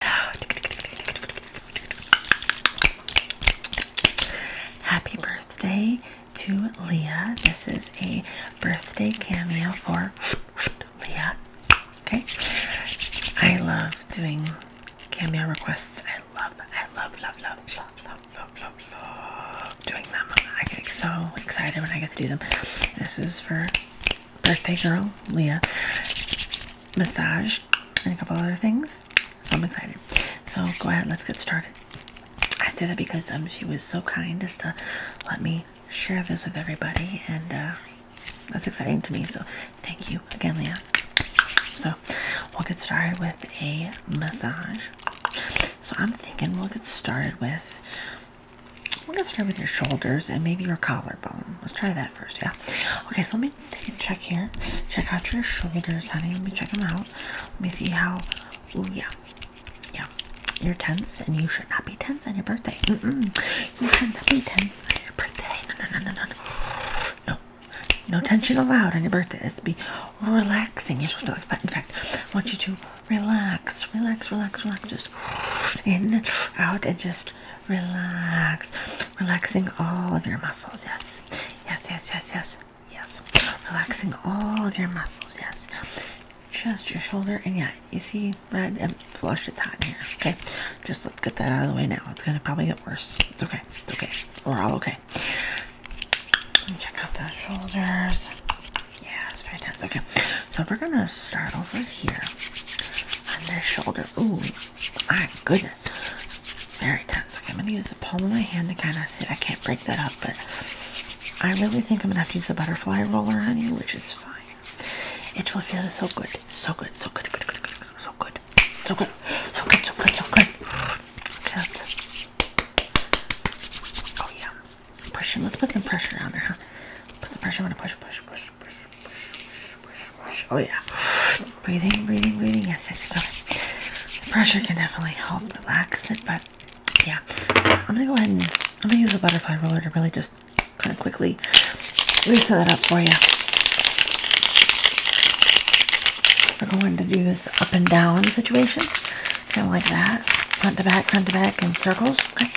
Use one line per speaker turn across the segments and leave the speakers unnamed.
Happy birthday to Leah. This is a birthday cameo for Leah. Okay. I love doing cameo requests. I love, I love, love, love, love, love, love, love, doing them. I get so excited when I get to do them. This is for birthday girl, Leah, massage, and a couple other things. So I'm excited. So go ahead, let's get started. I say that because um, she was so kind as to let me share this with everybody, and uh, that's exciting to me. So thank you again, Leah. So we'll get started with a massage. So I'm thinking we'll get started with we'll get started with your shoulders and maybe your collarbone. Let's try that that first, yeah? Okay, so let me take a check here. Check out your shoulders, honey. Let me check them out. Let me see how. Ooh, yeah. Yeah. You're tense, and you should not be tense on your birthday. Mm -mm. You should not be tense on your birthday. No, no, no, no, no. No. No tension allowed on your birthday. It's be relaxing. You're supposed to relax. But in fact, I want you to relax, relax, relax, relax. Just in, out, and just relax, relaxing all of your muscles. Yes, yes, yes, yes, yes, yes, relaxing all of your muscles. Yes, just your shoulder. And yeah, you see, red and flush, it's hot in here. Okay, just let's get that out of the way now. It's gonna probably get worse. It's okay, it's okay, we're all okay. Check out those shoulders. Yeah, it's very tense. Okay, so we're gonna start over here on this shoulder. Ooh, my goodness, very tense. Okay, I'm gonna use the palm of my hand to kind of see. I can't break that up, but I really think I'm gonna have to use the butterfly roller on you, which is fine. It will feel so good, so good, so good, good, good, good, good, so good, so good, so good, so good, so good. Okay, that's... Oh yeah, pushing. Let's put some pressure on there, huh? Put some pressure. I'm gonna push, push, push, push, Oh yeah. Breathing, breathing, breathing. Yes, yes, yes. Okay. The pressure can definitely help relax it, but yeah. I'm gonna go ahead and I'm gonna use a butterfly roller to really just kind of quickly set that up for you. We're going to do this up and down situation, kind of like that, front to back, front to back, in circles. Okay.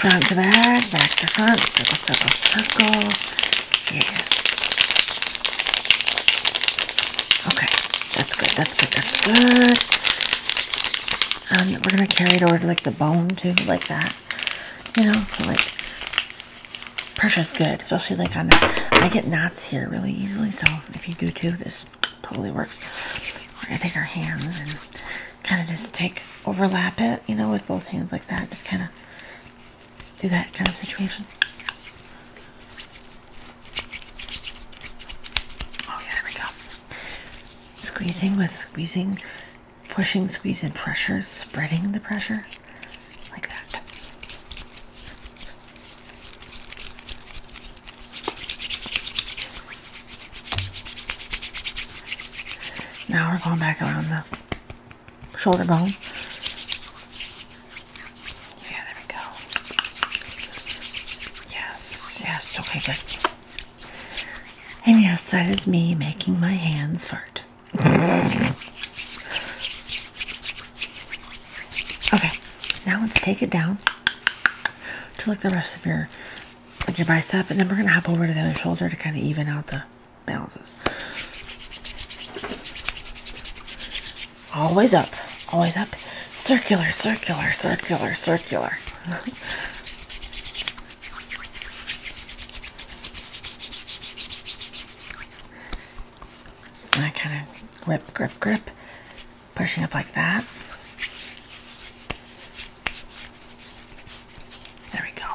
Front to back, back to front, circle, circle, circle. Yeah. Okay, that's good, that's good, that's good. Um, we're going to carry it over to like the bone too, like that. You know, so like Pressure is good, especially like I get knots here really easily, so if you do too, this totally works. We're gonna take our hands and kind of just take overlap it, you know, with both hands like that. Just kind of do that kind of situation. Oh yeah, there we go. Squeezing with squeezing pushing, squeezing pressure, spreading the pressure like that. Now we're going back around the shoulder bone. Yeah, there we go. Yes, yes, okay, good. And yes, that is me making my hands fart. Okay, now let's take it down to like the rest of your your bicep, and then we're gonna hop over to the other shoulder to kind of even out the balances. Always up, always up. Circular, circular, circular, circular. I kind of whip, grip, grip, pushing up like that. There we go.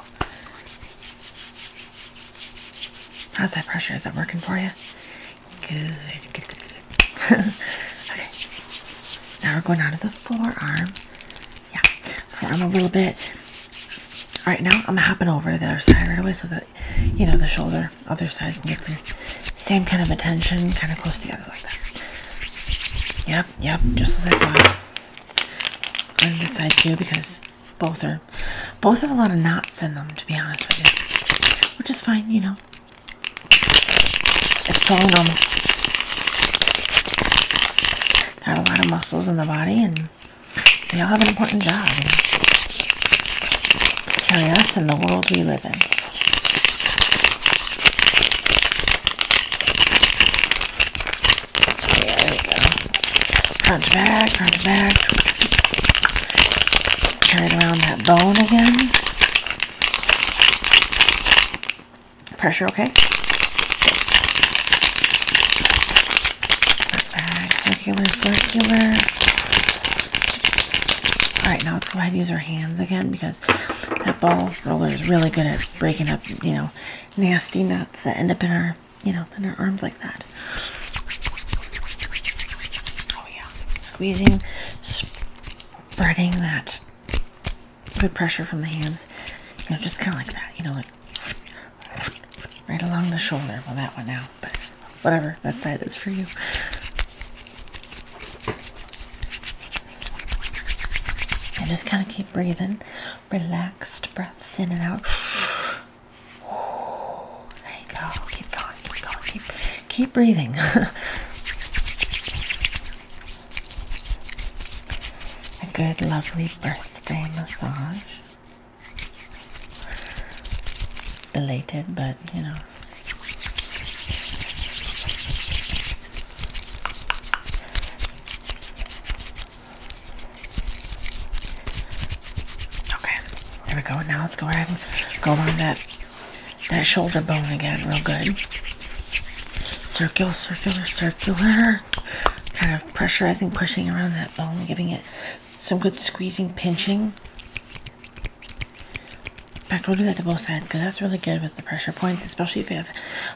How's that pressure? Is that working for you? good. okay. Now we're going out of the forearm yeah. I'm a little bit. All right, now I'm hopping over to the other side right away so that you know the shoulder, other side can get the same kind of attention, kind of close together like that. Yep, yep, just as I thought. On this side too, because both are both have a lot of knots in them, to be honest with you, which is fine, you know. It's totally normal. Got a lot of muscles in the body, and um, they all have an important job and carry us in the world we live in. Yeah, there we go. Crunch back, crunch back. Carried around that bone again pressure, okay? circular, circular. Alright, now let's go ahead and use our hands again because that ball roller is really good at breaking up, you know, nasty knots that end up in our, you know, in our arms like that. Oh yeah, squeezing, spreading that Good pressure from the hands, you know, just kind of like that, you know, like right along the shoulder. Well, that one now, but whatever, that side is for you. And just kind of keep breathing, relaxed breaths in and out. There you go. Keep going, keep going, keep, keep breathing. a good, lovely birthday massage. Belated, but you know. Okay, there we go. Now let's go ahead and go on that that shoulder bone again, real good. Circular, circular, circular kind of pressurizing, pushing around that bone, giving it some good squeezing, pinching. In fact, we'll do that to both sides because that's really good with the pressure points, especially if you have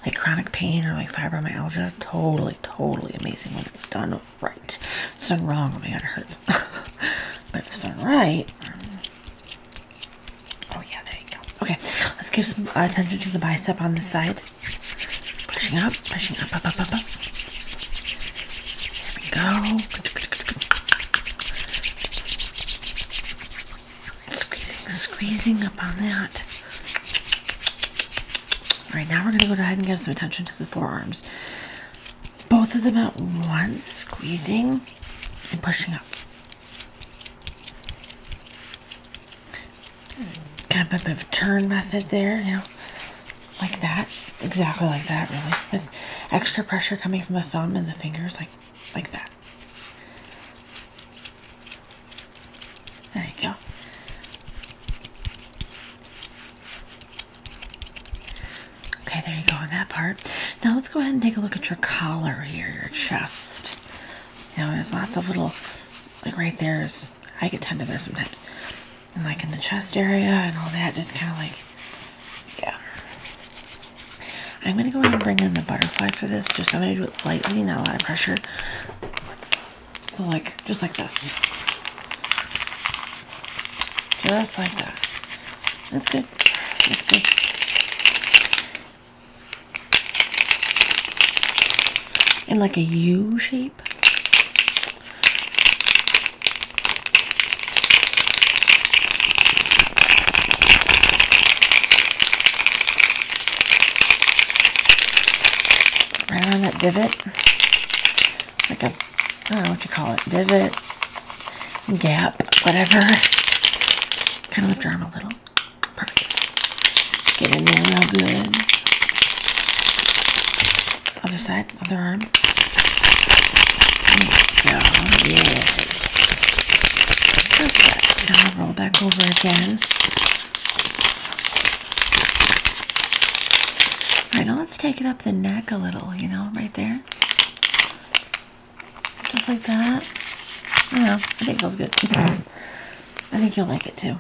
like chronic pain or like fibromyalgia. Totally, totally amazing when it's done right. it's done wrong, oh my god, it hurts. but if it's done right, Oh yeah, there you go. Okay, let's give some attention to the bicep on the side. Pushing up, pushing up, up, up, up, up. There we go. Squeezing, squeezing up on that. All right, now we're going to go ahead and give some attention to the forearms. Both of them at once, squeezing and pushing up kind of a bit of turn method there, you know, like that, exactly like that, really, with extra pressure coming from the thumb and the fingers, like, like that. There you go. Okay, there you go on that part. Now let's go ahead and take a look at your collar here, your chest. You know, there's lots of little, like right there's, I get tender there sometimes. And like in the chest area and all that, just kind of like, yeah. I'm going to go ahead and bring in the butterfly for this. Just I'm going to do it lightly, not a lot of pressure. So like, just like this. Just like that. That's good. That's good in like a U shape. Right around that divot, like a, I don't know what you call it, divot, gap, whatever. Kind of lift your arm a little. Get in there real good. Other side, other arm. There Yes. Perfect. Now roll back over again. Alright, now let's take it up the neck a little, you know, right there. Just like that. Yeah, I think it feels good. I think you'll like it too.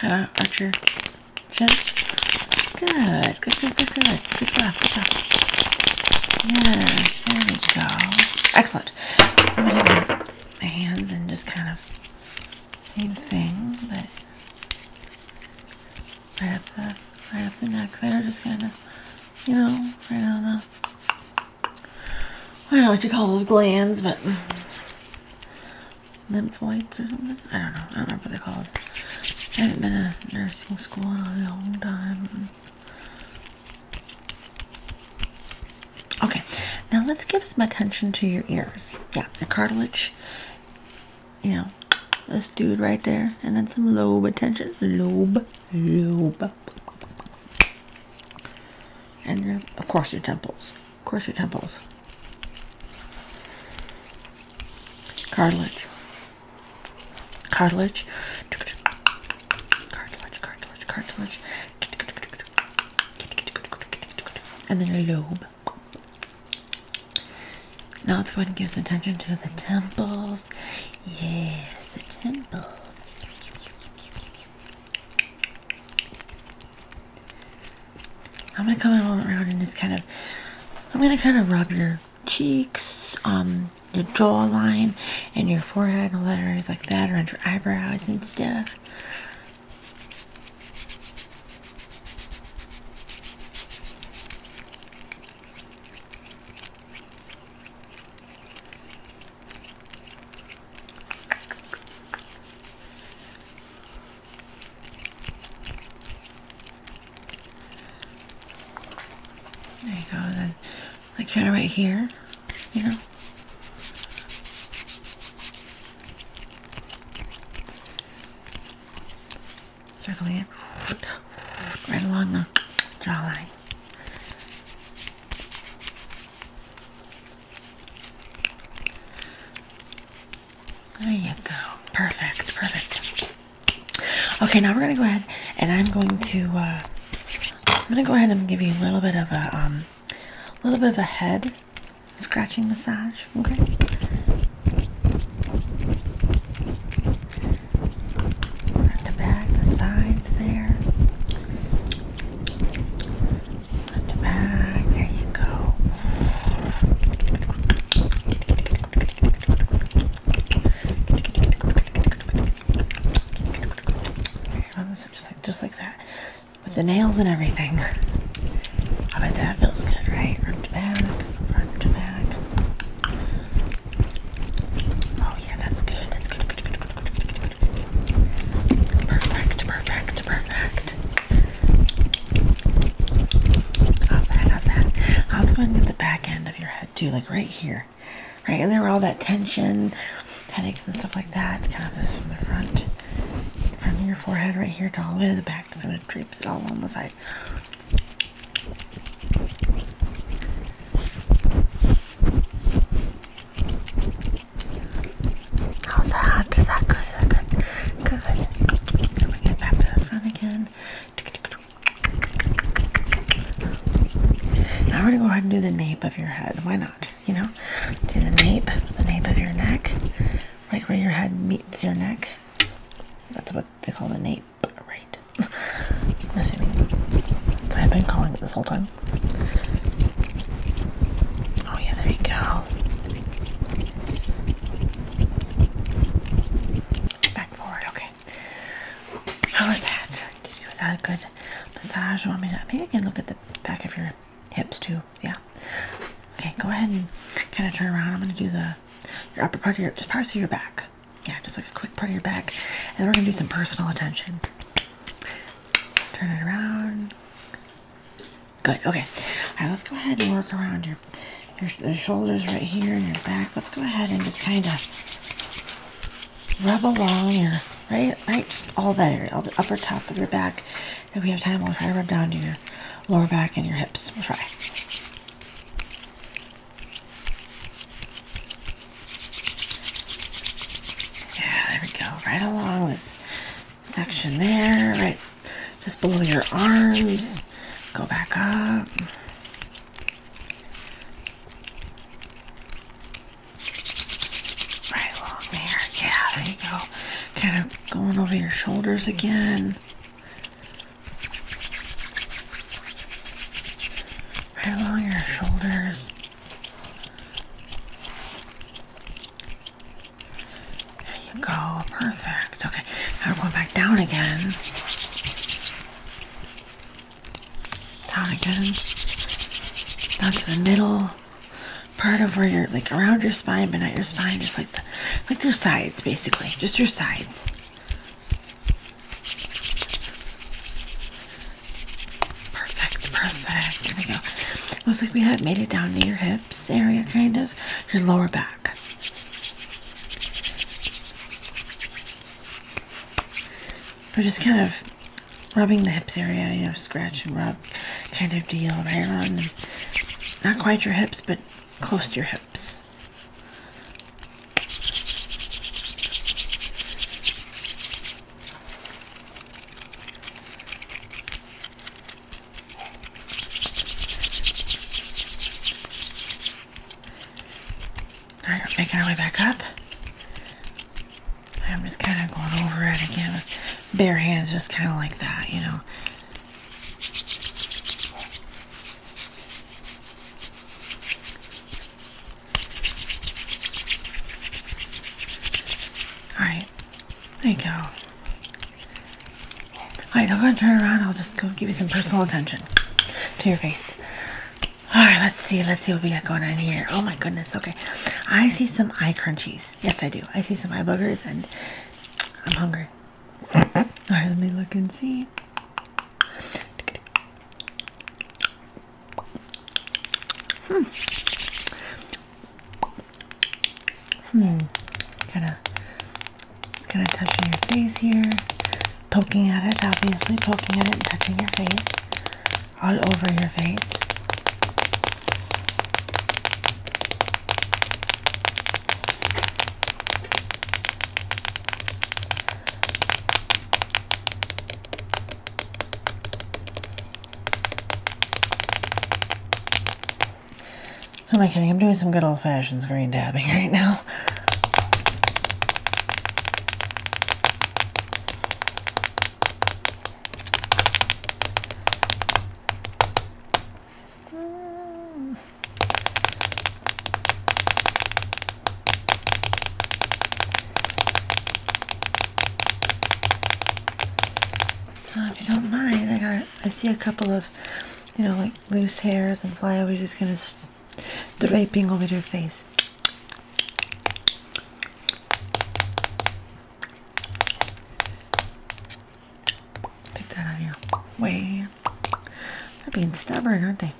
Kind of arch your Good. Good, good, good, good. Good job, good job. Yes, there go. Excellent. I'm going to do my hands and just kind of same thing, but right up the right up the neck there, just kind of, you know, right on the. I don't know what you call those glands, but lymphoids or something. I don't know. I don't know what they're called. I haven't been to nursing school in a long time. Okay, now let's give some attention to your ears. Yeah, the cartilage you know, this dude right there, and then some lobe attention. Lobe, lobe. And your, of course, your temples. Of course, your temples. Cartilage. Cartilage. Cartilage, cartilage, cartilage. And then a lobe. Now let's go ahead and give some attention to the temples. Yes, the temples. I'm gonna come around and just kind of, I'm gonna kind of rub your cheeks, um, your jawline, and your forehead and letters like that around your eyebrows and stuff. There you go. And then, like kind of right here, you know. Circling it right along the jawline. There you go. Perfect, perfect. Okay, now we're gonna go ahead and I'm going to uh, I'm gonna go ahead and give you a little bit of a um, a little bit of a head scratching massage. Okay. At the back, the sides there. At the back, there you go. just like that, with the nails and everything. I bet that feels good, right? Front to back, front to back. Oh yeah, that's good. That's good. Perfect, perfect, perfect. How's that? How's that? How's going with the back end of your head too? Like right here, right? And there were all that tension, headaches and stuff like that. Kind of this from the front, from your forehead right here to all the way to the back. So it drapes it all along the side. How's that? Is that good? good? Now we're gonna go ahead and do the nape of your head. Why not? you know, to the nape, the nape of your neck, right where your head meets your neck. That's what they call the nape, right? i assuming. So I've been calling it this whole time. Oh yeah, there you go. Back forward, okay. How was that? Did you a good massage? want me to? Maybe I can look at the back of your hips too. Yeah. Okay, go ahead and kind of turn around. I'm going to do the your upper part of your just parts of your back. Yeah, just like a quick part of your back, and then we're going to do some personal attention. Turn it around. Good. Okay. All right. Let's go ahead and work around your your, your shoulders right here and your back. Let's go ahead and just kind of rub along your right? Right, just all that area, all the upper top of your back. If we have time, we'll try to rub down to your lower back and your hips. We'll try. Yeah, there we go. Right along this section there, right just below your arms. Go back up. Right along there. Yeah, there you go. Kind of going over your shoulders again. Right along your shoulders. There you go. Perfect. Okay. Now we're going back down again. Down again. Down to the middle part of where you're like around your spine, but not your spine, just like the like your sides basically, just your sides. Perfect, perfect. There we go. Looks like we have made it down to your hips area, kind of your lower back. We're just kind of rubbing the hips area, you know, scratch and rub kind of deal right on them. Not quite your hips, but close to your hips. All making our way back up. I'm just kind of going over it again bare hands, just kind of like that, you know. Alright, there you go. Alright, I'm going to turn around. I'll just go give you some personal attention to your face. All right, let's see. Let's see what we got going on here. Oh my goodness. Okay, I see some eye crunchies. Yes, I do. I see some eye boogers, and I'm hungry. All right, let me look and see. Hmm. Hmm. Kind of just kind of touching your face here, poking at it, obviously poking at it and touching your face all over your face. Am I kidding? I'm doing some good old-fashioned screen dabbing right now. Mm. Uh, now, if you don't mind, I got I see a couple of, you know, like loose hairs and flyaways just kind of draping over your face. Pick that out of way. They're being stubborn, aren't they?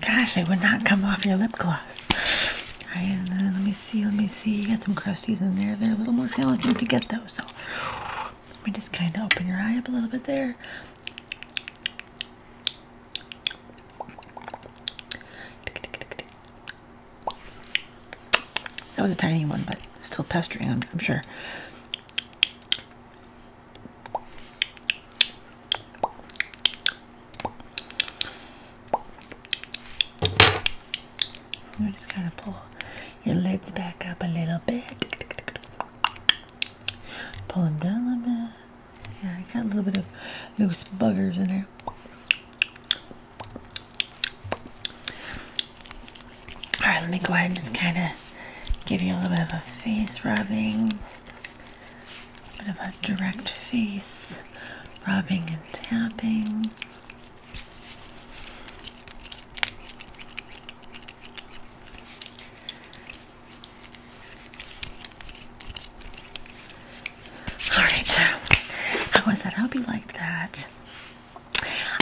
Gosh, they would not come off your lip gloss. All right, let me see, let me see. You got some crusties in there. They're a little more challenging to get those. So. Let me just kind of open your eye up a little bit there. That was a tiny one, but still pestering, I'm, sure. I'm just kind of pull your lids back up a little bit. Pull them down a bit. Yeah, I got a little bit of loose buggers in there. Alright, let me go ahead and just kind of give you a little bit of a face rubbing. A bit of a direct face rubbing and tapping. All right, I was that. I hope you liked that.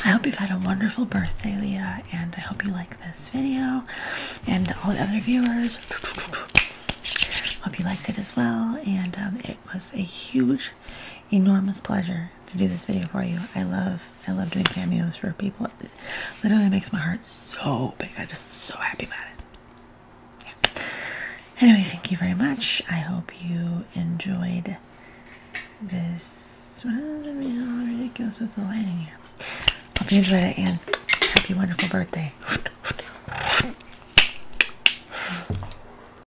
I hope you've had a wonderful birthday, Leah, and I hope you like this video and all the other viewers. Hope you liked it as well, and um, it was a huge, enormous pleasure to do this video for you. I love I love doing cameos for people. It literally makes my heart so big. I'm just so happy about it. Anyway, thank you very much. I hope you enjoyed this me well, ridiculous with the lighting here. Hope you enjoyed it and happy wonderful birthday.